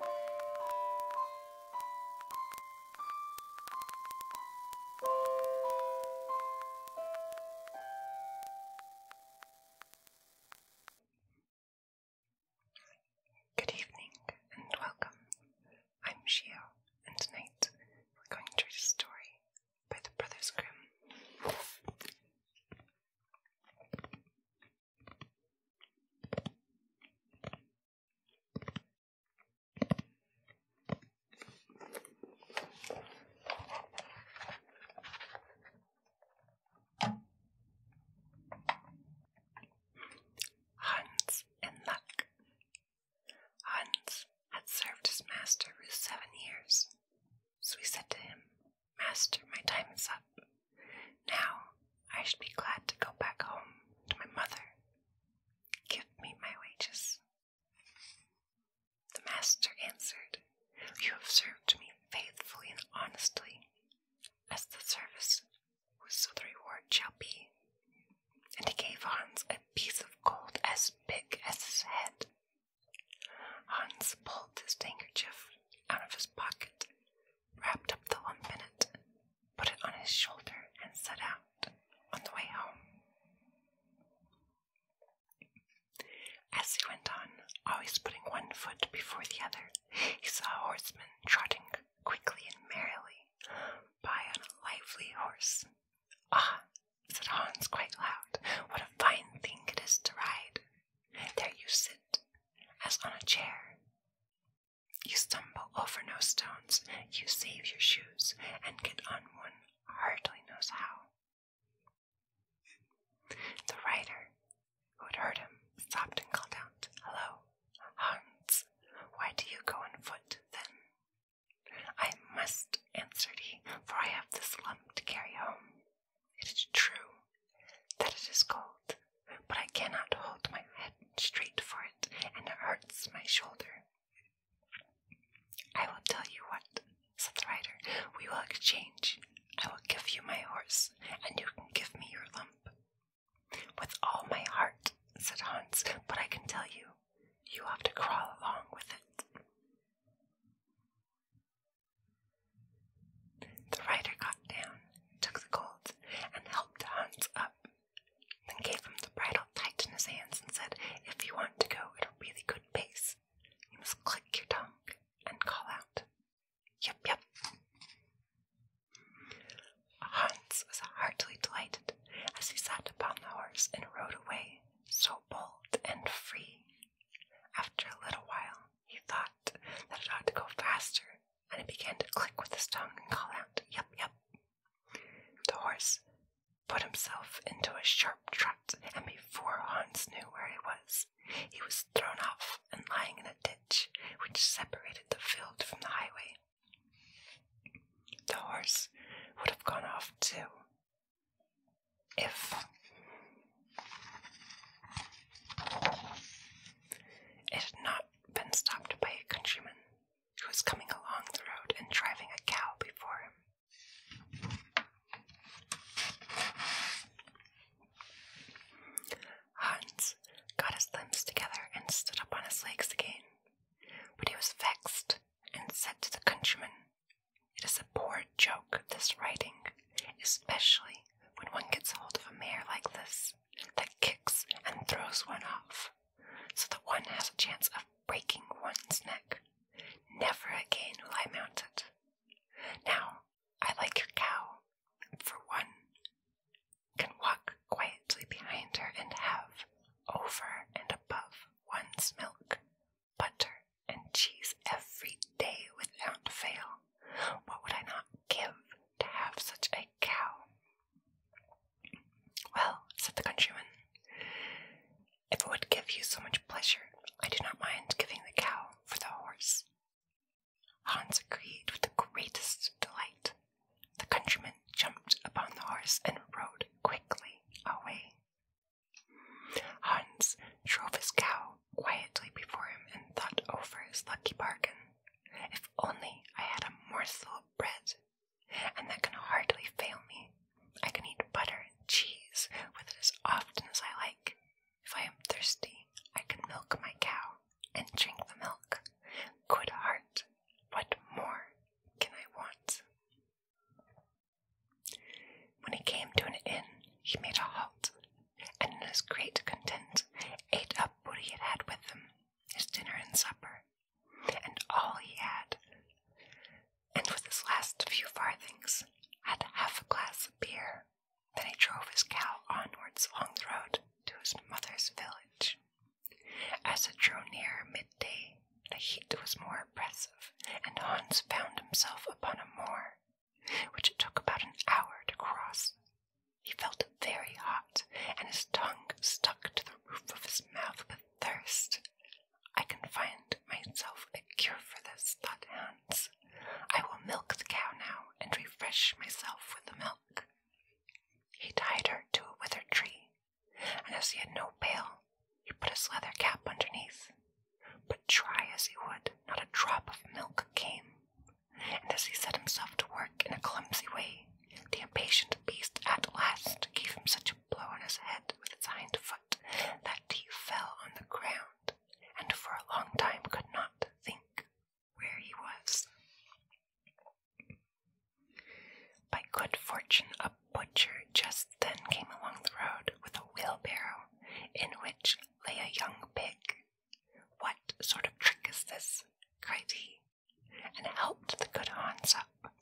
Good evening and welcome. I'm Shio, and tonight we're going to read a story by the Brothers Grimm. Hans in luck. Hans had served his master for seven years. So he said to him, Master, my time is up. Now I should be glad to go back home to my mother. Give me my wages. The master answered, You have served me faithfully and honestly, as the service was so the reward shall be. And he gave Hans a piece of gold as big as his head. Hans pulled his handkerchief out of his pocket wrapped up the lump in it, put it on his shoulder, and set out on the way home. As he went on, always putting one foot before the other, he saw a horseman trotting quickly and merrily by on a lively horse. Ah, said Hans quite loud, what a fine thing it is to ride! There you sit, as on a chair, you stumble over no stones, you save your shoes, and get on one hardly knows how. The rider, who had heard him, stopped and called out, Hello, Hans, why do you go on foot then? I must, answered he, for I have this lump to carry home. It is true that it is cold, but I cannot hold my head straight for it, and it hurts my shoulder. I will tell you what, said the rider. We will exchange. I will give you my horse, and you can give me your lump. With all my heart, said Hans, but I can tell you, you have to crawl along with it. The rider got down, took the gold, and helped Hans up, then gave him the bridle tight in his hands and said, If you want to go at a really good pace, you must click your tongue and call out, 'Yip yip.'" Hans was heartily delighted as he sat upon the horse and rode away, so bold and free. After a little while, he thought that it ought to go faster, and he began to click with his tongue and call out, Yup, yup. The horse put himself into a sharp trot, and before Hans knew where he was, he was thrown off and lying in a ditch which separated the field from the highway. The horse would have gone off too if it had not been stopped by a countryman who was coming along the road and driving a cow before Hans got his limbs together and stood up on his legs again, but he was vexed and said to the countryman, It is a poor joke, this writing, especially when one gets hold of a mare like this that kicks and throws one off, so that one has a chance of breaking one's neck. Never again will I mount it. Now, I like your cow, for one can walk quietly behind her and have, over and above one's milk, butter and cheese every day without fail. What would I not give to have such a cow? Well, said the countryman, if it would give you so much pleasure, I do not mind giving the cow for the horse. Hans agreed with the greatest delight. The countryman jumped upon the horse and rode quickly away. Hans drove his cow quietly before him and thought over his lucky bargain. If only I had a morsel of bread, and that can hardly fail me. I can eat butter and cheese with it as often as I like. If I am thirsty, I can milk my cow and drink the milk. Good heart, what more can I want? When he came to an inn, he made a halt, and in his great content ate up what he had with him, his dinner and supper, and all he had, and with his last few farthings had half a glass of beer. Then he drove his cow onwards along the road to his mother's village. As it drew near midday, the heat was more oppressive, and Hans found himself upon a moor which it took about an hour to cross. He felt very hot, and his tongue stuck to the roof of his mouth with thirst. I can find myself a cure for this, thought Hans. I will milk the cow now and refresh myself with the milk. He tied her to a withered tree, and as he had no pail, he put his leather cap underneath but try as he would, not a drop of milk came, and as he set himself to work in a clumsy way, the impatient beast at last gave him such a blow on his head with its hind foot that he fell on the ground, and for a long time could not think where he was. By good fortune, a butcher just then came along the road with a wheelbarrow in which lay a young pig. What sort of trick is this? cried he, and helped the good Hans up.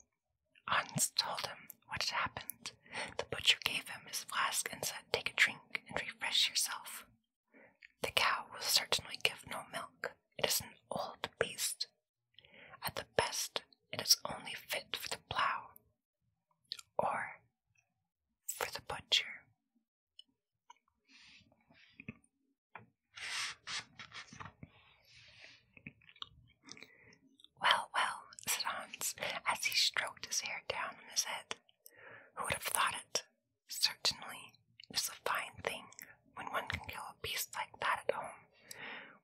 Hans told him what had happened. The butcher gave him his flask and said, Take a drink and refresh yourself. The cow will certainly give no milk. It is an old beast. At the best, it is only fit for the plough, or for the butcher. Well, well, said Hans as he stroked his hair down on his head. Who would have thought it? Certainly, it is a fine thing when one can kill a beast like that at home.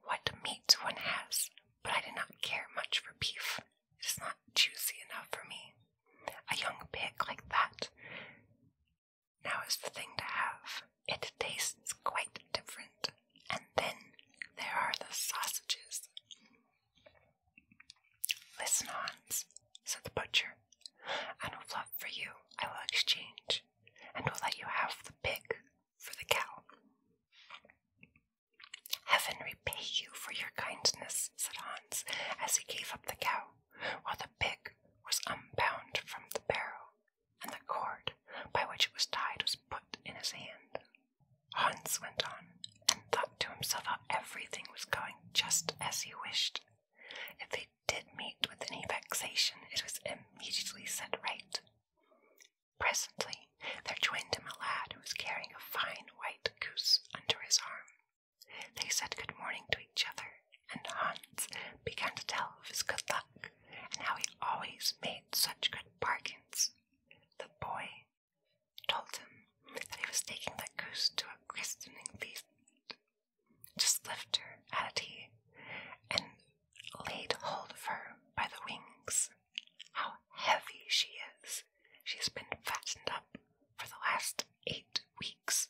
What meat one has, but I did not care much for beef. It is not juicy enough for me. A young pig like that now is the thing to have. It tastes quite different. And then there are the sausages. Listen, on," said the butcher. I will love for you. I will exchange, and will let you have the pig for the cow. Heaven repay you for your kindness, said Hans, as he gave up the cow, while the pig was unbound from the barrow, and the cord by which it was tied was put in his hand. Hans went on, and thought to himself how everything was going just as he wished. If they did meet with any vexation, it was immediately set right. Presently there joined him a lad who was carrying a fine white goose under his arm. They said good morning to each other, and Hans began to tell of his good luck and how he always made such good bargains. The boy told him that he was taking the goose to a christening feast. Just lifted her, added he, and laid hold of her by the wings how heavy she is. She's been fattened up for the last eight weeks.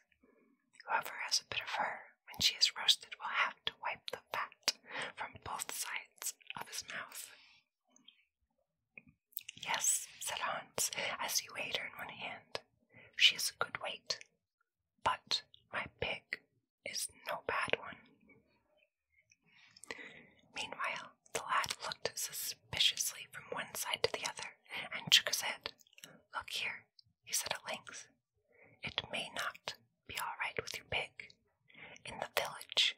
Whoever has a bit of her when she is roasted will have to wipe the fat from both sides of his mouth. Yes, said Hans, as he weighed her in one hand. She is a good weight, but my pig is no bad one. Meanwhile, the lad looked suspiciously from one side to the other and shook his head. Look here, he said at length. It may not be all right with your pig. In the village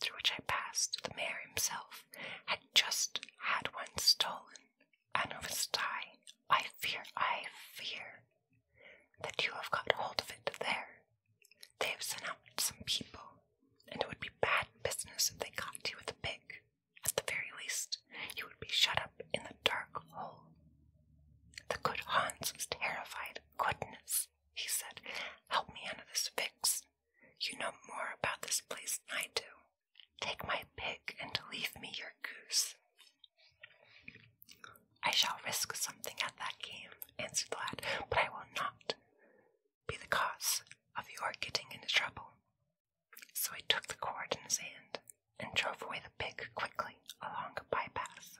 through which I passed, the mayor himself had just had one stolen, and of its tie, I fear, I fear that you have got hold of it there. They have sent out some people, and it would be bad business if they caught you with a pig. At the very least, you would be shut up in the dark hole. The good Hans was terrified. Goodness, he said, help me out of this fix. You know more about this place than I do. Take my pig and leave me your goose. I shall risk something at that game, answered the lad, but I will not be the cause of your getting into trouble. So he took the cord in his hand and drove away the pig quickly along a bypath.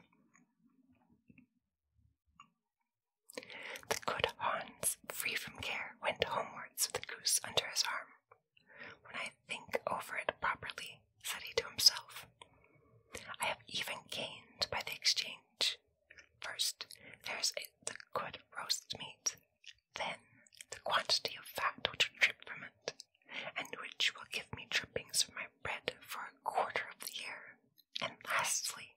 The good Hans, free from care, went homewards with the goose under his arm. When I think over it properly, said he to himself, I have even gained by the exchange. First, there's the good roast meat, then the quantity of fat which will from it, and which will give me drippings for my bread for a quarter of the year, and lastly,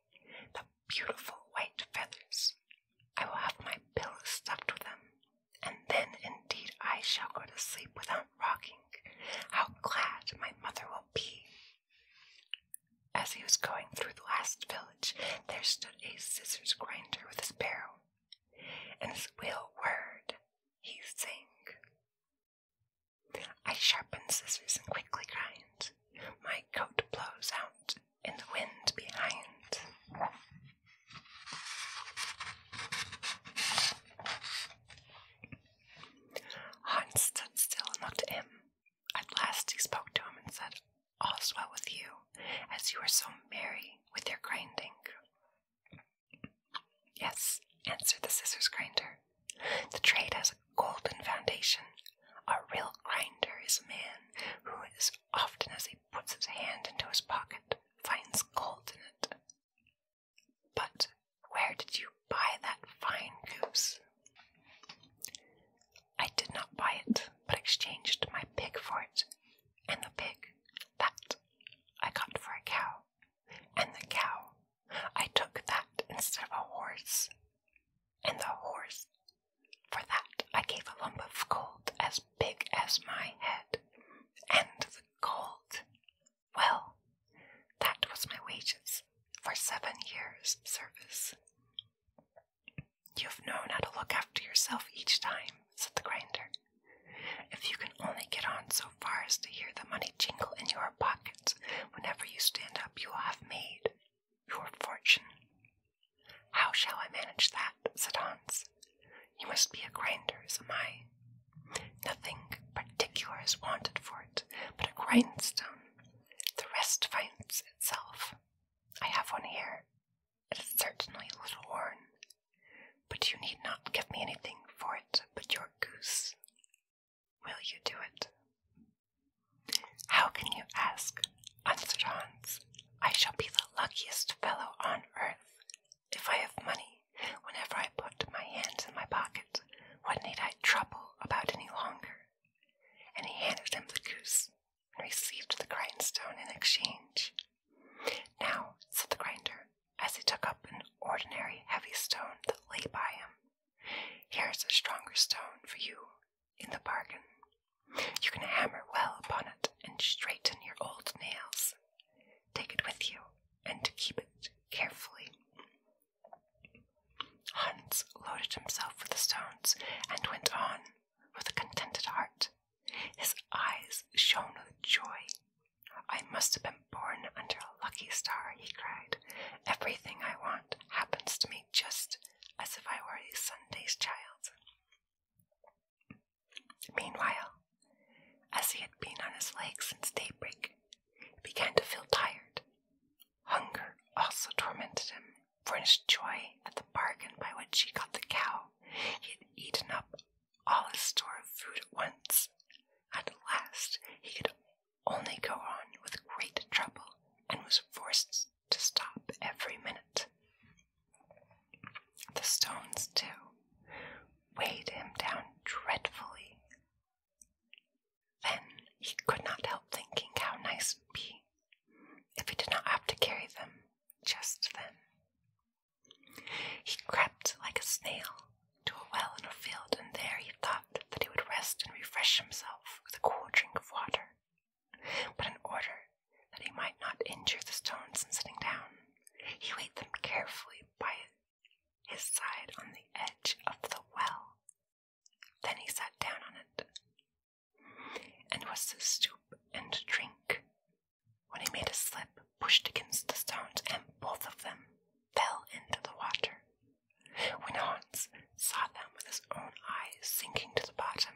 the beautiful white feathers. I will have my pillow stuffed with them, and then indeed I shall go to sleep without rocking. How glad my mother will be! As he was going through the last village, there stood a scissors grinder with a sparrow, and his wheel whirred. He sang. I sharpen scissors and quickly grind. My coat blows out in the wind behind. Hans stood still and looked at him. At last he spoke to him and said, All's well with you, as you are so merry with your grinding. Yes, answered the scissors grinder. The trade has a golden foundation. A real grinder is a man who, as often as he puts his hand into his pocket, finds gold in it. But where did you buy that fine goose? I did not buy it, but exchanged my pig for it, and the pig, that, I got for a cow, and the cow, I took that instead of a horse, and the horse, for that I gave a lump of gold as big as my head, and the gold well, that was my wages for seven years' service. You've known how to look after yourself each time, said the grinder. If you can only get on so far as to hear the money jingle in your pockets whenever you stand up, you will have made your fortune. How shall I manage that? said Hans. You must be a grinder, as am I, Nothing particular is wanted for it but a grindstone. The rest finds itself. I have one here. It is certainly a little worn. But you need not give me anything for it but your goose. Will you do it? How can you ask? answered Hans. I shall be the luckiest fellow on earth if I have money whenever I put my hands in my pockets, what need I trouble about any longer? And he handed him the goose, and received the grindstone in exchange. Now, said the grinder, as he took up an ordinary heavy stone that lay by him, here's a stronger stone for you in the bargain. You can hammer well upon it and straighten your old nails. Take it with you, and keep it carefully. Hans loaded himself with the stones and went on with a contented heart. His eyes shone with joy. I must have been born under a lucky star, he cried. Everything I want happens to me just as if I were a Sunday's child. Meanwhile, as he had been on his legs since daybreak, he began to feel tired. Hunger also tormented him, for his joy at the bargain by which he got the cow, he had eaten up all his store of food at once. At last, he could only go on with great trouble and was forced to stop every minute. The stones, too, weighed him down dreadfully, then he could not help thinking how nice it would be if he did not have to carry them just then. He crept like a snail to a well in a field, and there he thought that he would rest and refresh himself with a cool drink of water. But in order that he might not injure the stones in sitting down, he ate them carefully by his side on the edge of the well. Then he sat down on it, and was to stoop and drink, when he made a slip, pushed against the stones, and both of them fell into the water. When Hans saw them with his own eyes sinking to the bottom,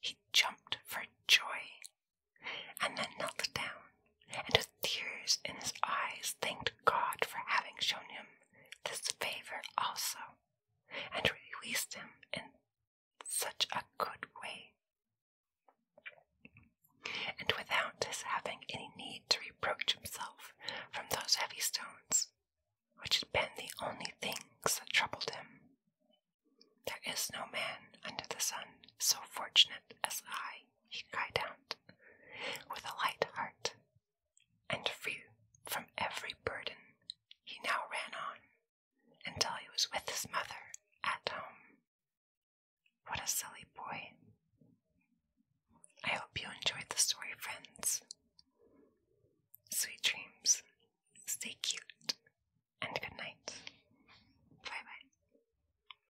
he jumped for joy, and then knelt down and with tears in his eyes thanked God for having shown him this favor also, and released him in such a good way. And without his having any need to reproach himself from those heavy stones, which had been the only things that troubled him. There is no man under the sun so fortunate as I he cried out, with a light heart, and free from every burden, he now ran on until he was with his mother at home. What a silly boy. I hope you enjoyed the story, friends. Sweet dreams. Stay cute and good night. Bye bye.